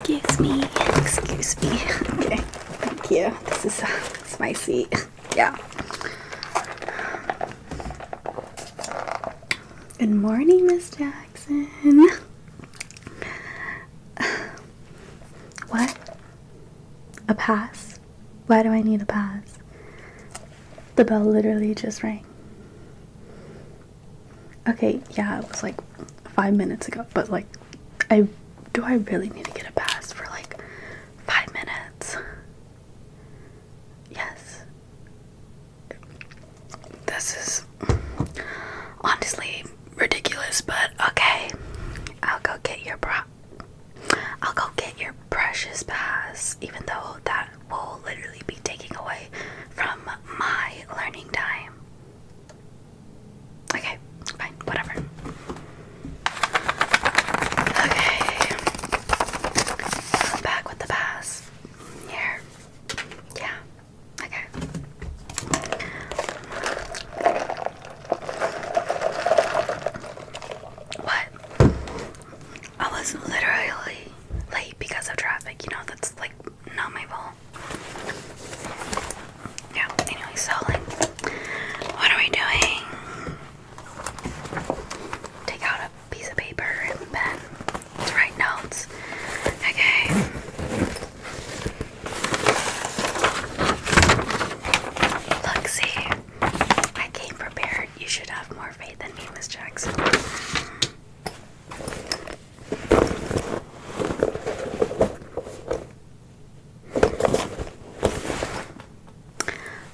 Excuse me. Excuse me. Okay. Thank you. This is, uh, my seat. Yeah. Good morning, Miss Jackson. What? A pass? Why do I need a pass? The bell literally just rang. Okay, yeah, it was like five minutes ago, but like, I do I really need to get a pass for like five minutes? Yes. This is honestly ridiculous, but okay. I'll go get your bra. I'll go get your precious pass, even though that will literally be taking away from my learning time. Okay, fine, whatever. Okay. back with the pass. Here. Yeah. Okay. What? I was literally late because of traffic. You know, that's like not my fault. Yeah, anyway, so like what are we doing? Take out a piece of paper and pen write notes. Okay. Look, I came prepared. You should have more faith than me, Miss Jackson.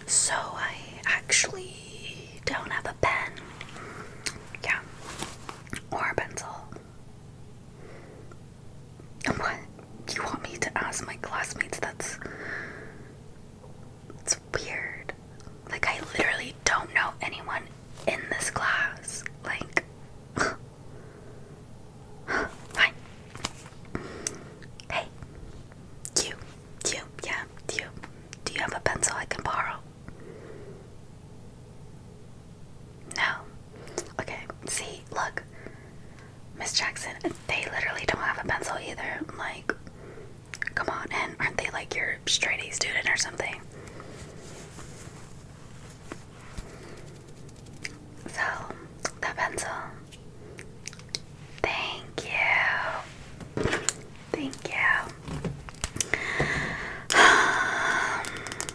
So I actually don't have a pen. Yeah. Or a pencil. What? You want me to ask my classmates? That's. It's weird. Like, I literally don't know anyone in this class. Like, Hi. Hey. You. You. Yeah. You. Do you have a pencil I can borrow? No. Okay. See, look. Miss Jackson, they literally don't have a pencil either. Like, come on. And aren't they like your straight A student or something? So, the pencil. Thank you. Thank you.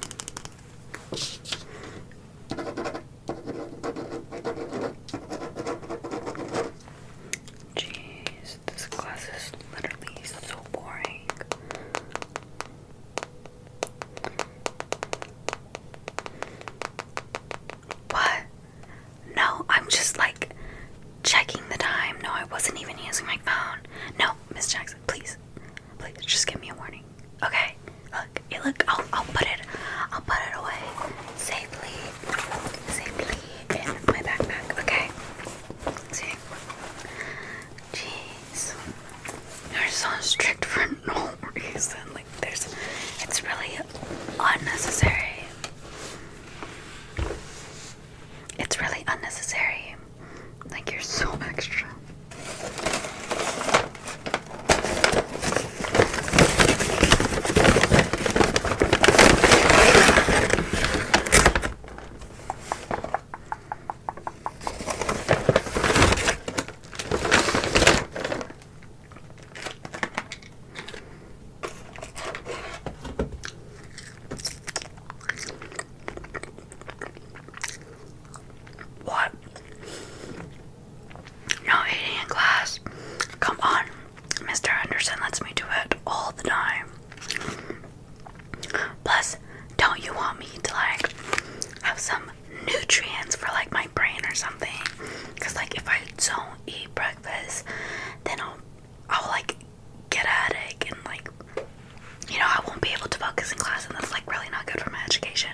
Jeez, this class is literally so boring. What? No, I'm just like checking the time. No, I wasn't even using my phone. No, Miss Jackson, please. Please just give me a warning. Okay. Look, eh, look I'll I'll put it I'll put it away safely safely in my backpack. Okay. See? Jeez. You're so strict for no reason. Like there's it's really unnecessary. It's really unnecessary. Like you're so extra. What? No eating in class. Come on, Mr. Henderson lets me do it all the time. Plus, don't you want me to like have some nutrients for like my brain or something. Cause like if I don't eat breakfast, then I'll I'll like get a headache and like you know I won't be able to focus in class and that's like really not good for my education.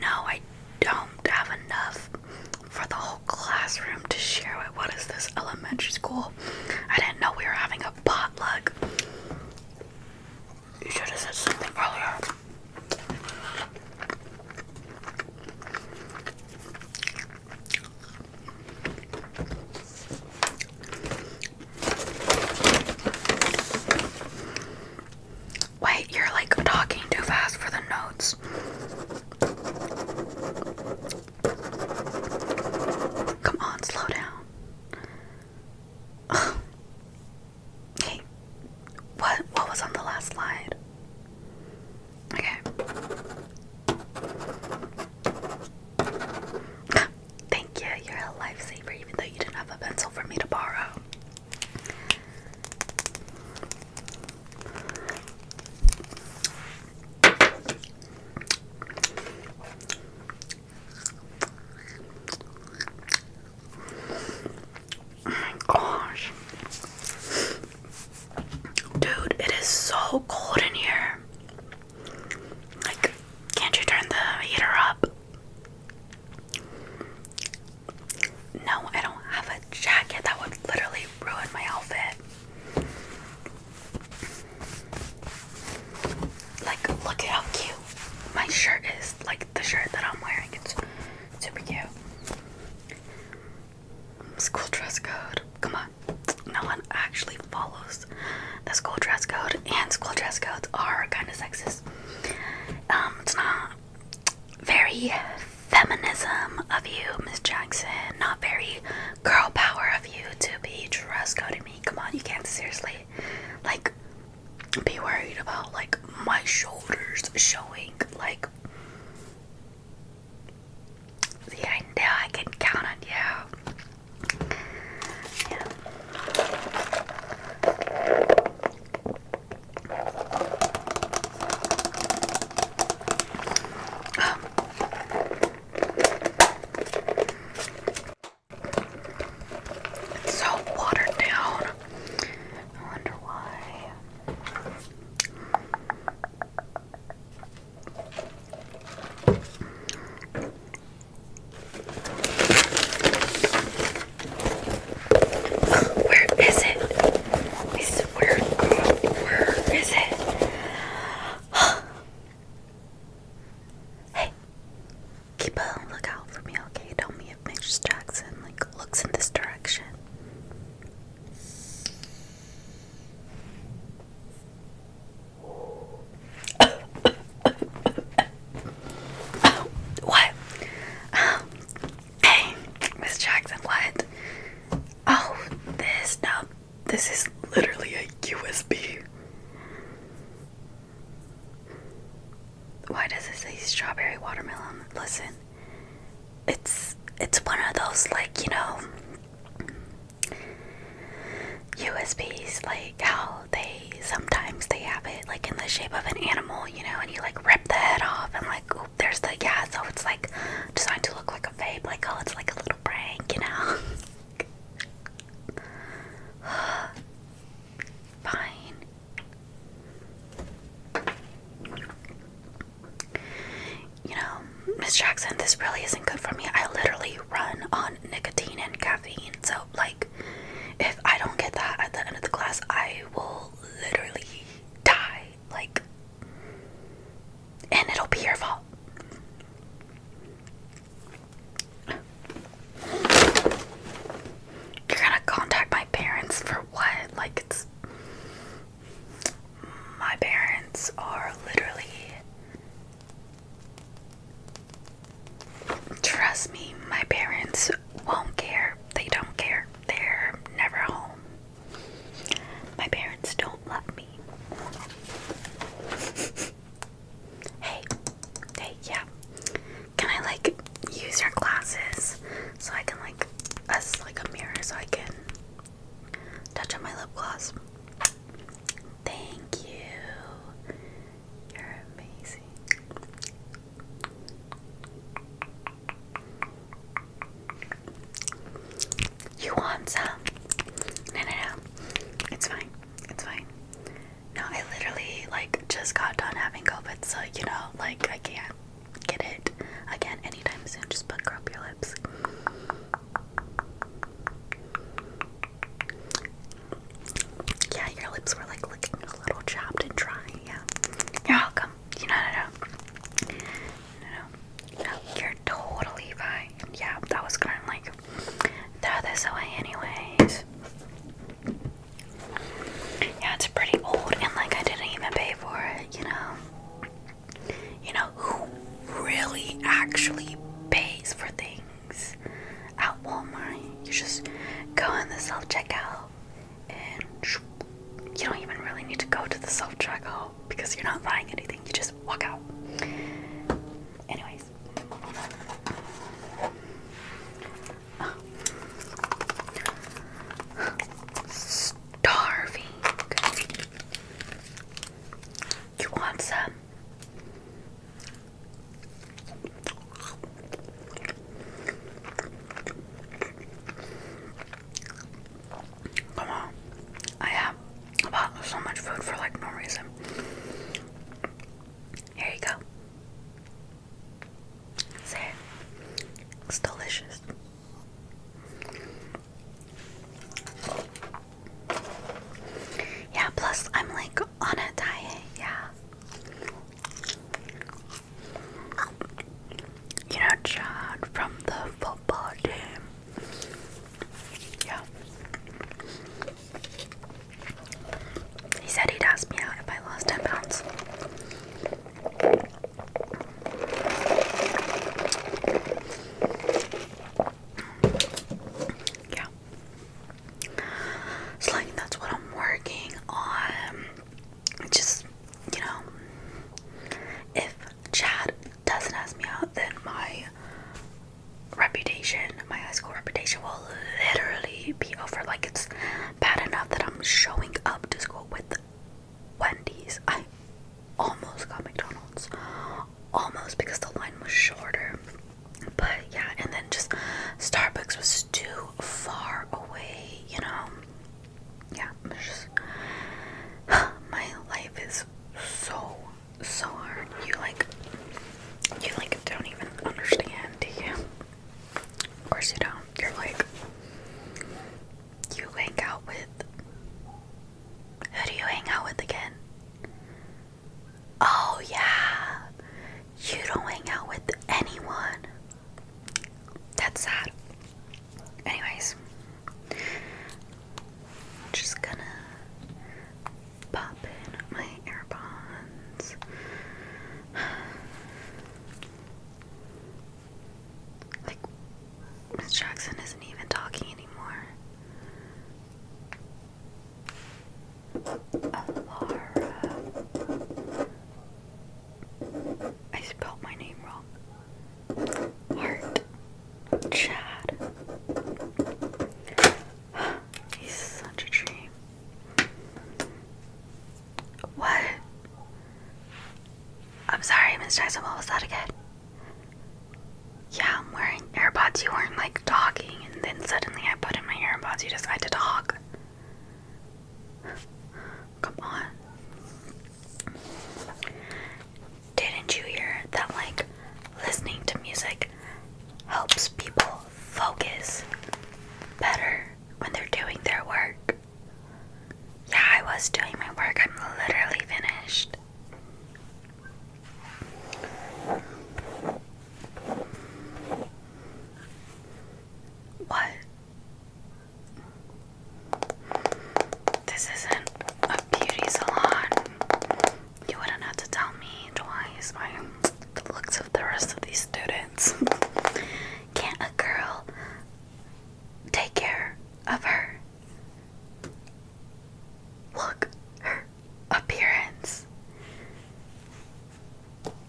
No, I don't have enough for the whole classroom to share it. What is this elementary school? I didn't know we were having a potluck. You should have said something earlier. Wait, you're like talking too fast for the notes. Come on, slow down. Ugh. what what was on the last slide? Okay. Thank you. You're a lifesaver, even though you didn't have a pencil for me to borrow. Oh my gosh. Dude, it is so cold in here. Like, can't you turn the heater up? No, I don't have a jacket. That would literally ruin my outfit. Like, look at how cute my shirt is. Like, the shirt that I'm wearing. It's super cute. School dress code. Come on. No one actually follows the school dress code, and school dress codes are kind of sexist. Um, it's not very feminism of you, Miss Jackson. Not very girl power of you to be dress to me. Come on, you can't seriously like be worried about like my shoulders showing like yeah, I know I can count on you. Yeah. Um, it's so watered down. I wonder why. Where is it? where is it? hey, keep a lookout for me, okay? Tell me if Missus Jackson like looks in this direction. what? Um, Hey, Miss Jackson, what? Oh, this no, this is literally a USB. Why does it say strawberry watermelon? Listen, it's it's one of those like you know USBs, like how they sometimes they have it like in the shape of an animal you know, and you like rip the head off and like ooh, there's the yeah, so it's like designed to look like a vape, like oh it's like a little prank, you know. Fine. You know, Miss Jackson, this really isn't good for me. I literally run on nicotine and caffeine. So, like, if I don't get that at the end of the class, I will literally die. Like, and it'll be your fault. You're gonna contact my parents for what? Like, it's. My parents are literally. Trust me, my parents won't care. They don't care. They're never home. My parents don't love me. hey, hey, yeah. Can I like use your glasses so I can like as like a mirror so I can touch on my lip gloss? Thank you. You're amazing. You want some? No, no, no. It's fine. It's fine. No, I literally like just got done having COVID, so you know, like I can't get it again anytime soon. Just but grow up your lips. Yeah, your lips were like looking a little chapped and dry. Yeah, you're welcome. You know, no, no, no, You're totally fine. Yeah, that was gonna like throw this away, anyways. Yeah, it's pretty old, and like I didn't even pay for it. You know, you know who really actually pays for things at Walmart? You just go in the self checkout and you don't even really need to go to the self checkout because you're not buying anything, you just walk out. Anyways, starving. You want some? Come on. I have bought so much food for like no reason. Here you go. Say it. It's delicious. Yeah, plus I'm like on a diet, yeah. You know, Chad from the football team. Yeah. He said he'd ask me out if I lost 10 pounds. Yeah. It's like that's what I'm working on. Just you know, if Chad doesn't ask me out, then my reputation, my high school reputation, will literally be over. Like, it's bad enough that I'm showing up to school with Wendy's. I almost got McDonald's, almost because the line was shorter. But yeah, and then just Starbucks was too far away, you know. Yeah, my life is so so hard. You like, you like don't even understand, do you? Of course you don't. You're like, you hang out with. Who do you hang out with again? Oh yeah, you don't hang out with anyone. That's sad. Anyways, just gonna pop in my AirPods. Like, Miss Jackson isn't even talking anymore. Alara. I spelled my name wrong. Hart. Chad. He's such a dream. What? I'm sorry, Mr. Tyson, what was that again? Yeah, I'm wearing AirPods. You weren't like talking, and then suddenly I put in my AirPods. You decided to talk. Come on. Didn't you hear that, like, listening to music helps people focus better when they're doing their work? Yeah, I was doing my work. I'm literally finished. What? This isn't a beauty salon. You wouldn't have to tell me twice by the looks of the rest of these students. Can't a girl take care of her? Look, her appearance.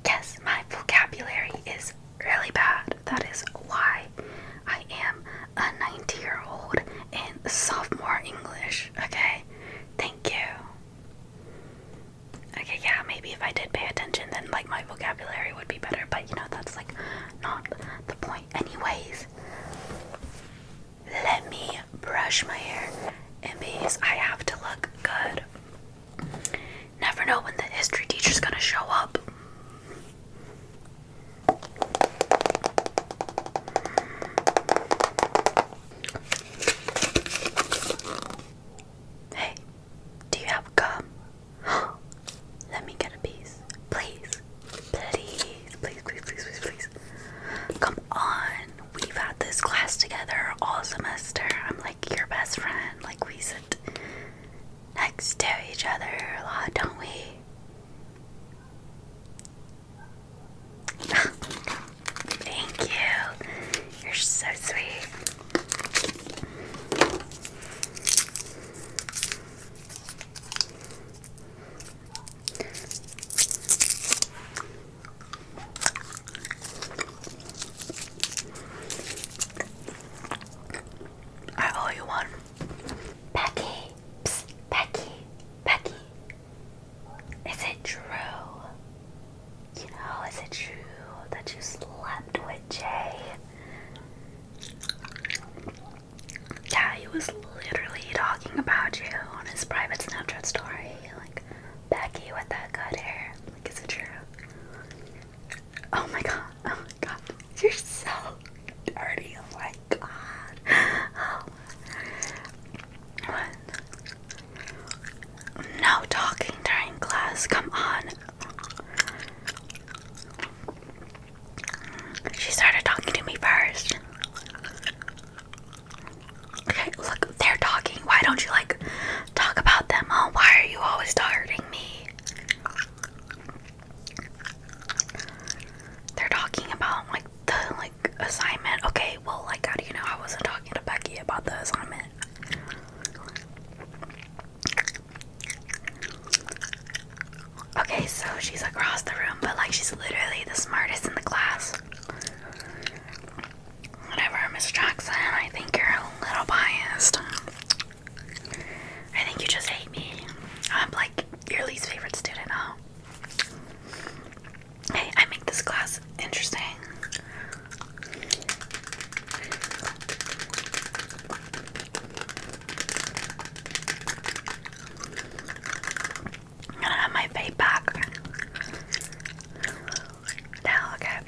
Yes, my vocabulary is really bad. That is why I am a 90 year old in sophomore English, okay? Thank you. Okay, yeah, maybe if I did pay attention, then like my vocabulary would be better, but you know, that's like not the point. Anyways, let me brush my hair and because I have to look good. Never know when the history teacher's gonna show up. Hey, do you have gum? Let me get a piece. Please. Please, please, please, please, please, please. Come on. We've had this class together all semester. I'm like your best friend. Like we next to each other a lot, don't we? Thank you. You're so sweet. I owe you one. Becky, Psst, Becky, Becky. Is it true? You know, is it true that you slept with Jay? Yeah, he was literally talking about you on his private Snapchat story. Like, Becky with that good hair. Like, is it true? Oh my god, oh my god, you're so dirty, oh my god. No talking during class, come on. She started talking to me first. Okay, look, they're talking. Why don't you like talk about them? Huh? Oh, why are you always targeting me? They're talking about like the like assignment. Okay, well like how do you know I wasn't talking to Becky about the assignment? Okay, so she's across the room, but like she's literally the smartest in the class. Whatever, Miss Jackson, I think you're a little biased. I think you just hate me. I'm like your least favorite student, huh? Hey, I make this class interesting. gonna have my pay Now, okay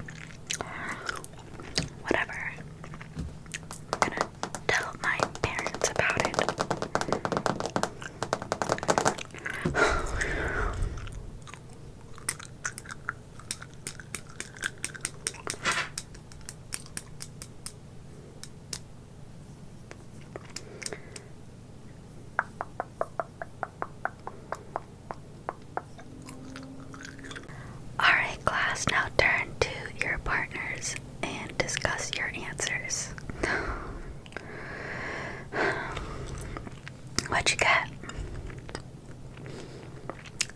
whatever. i gonna tell my parents about it. Alright, class, now turn to your partners and discuss your answers. What you got?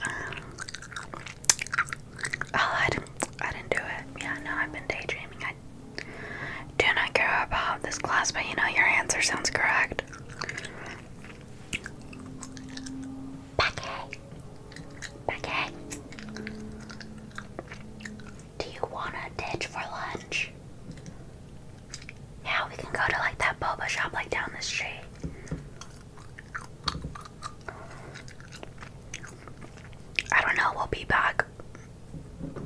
Um, oh, I didn't, do it. Yeah, no, I've been daydreaming. I do not care about this class, but you know, your answer sounds correct. Becky, Becky, do you want a ditch for lunch? Yeah, we can go to like that boba shop like down the street. I don't know, we'll be back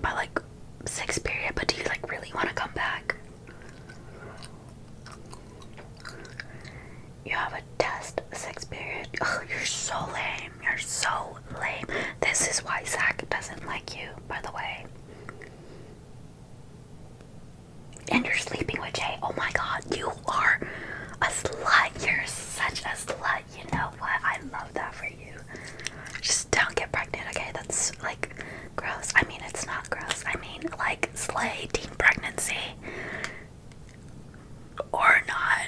by like six period, but do you like really want to come back? You have a test sex period. Oh, you're so lame. You're so lame. This is why Zach doesn't like you, by the way. And you're sleeping with Jay. Oh my god, you are a slut. You're such a slut. You know what? I love that for you. Just don't get pregnant, okay? That's like gross. I mean, it's not gross. I mean, like, slay teen pregnancy or not.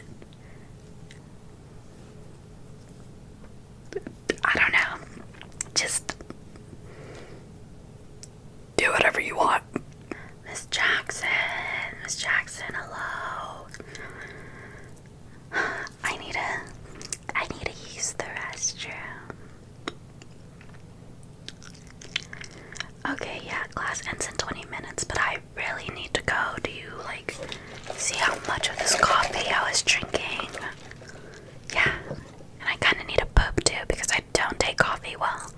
I don't know. Just do whatever you want. Miss Jackson, Miss Jackson, hello. I need a I need to use the restroom. Okay, yeah, class ends in 20 minutes, but I really need to go. Do you like see how much of this coffee I was drinking? Yeah, and I kind of need a poop too because I don't take coffee well.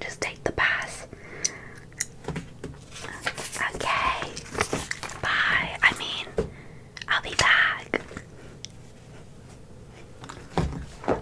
Just take the pass. Okay, bye. I mean, I'll be back.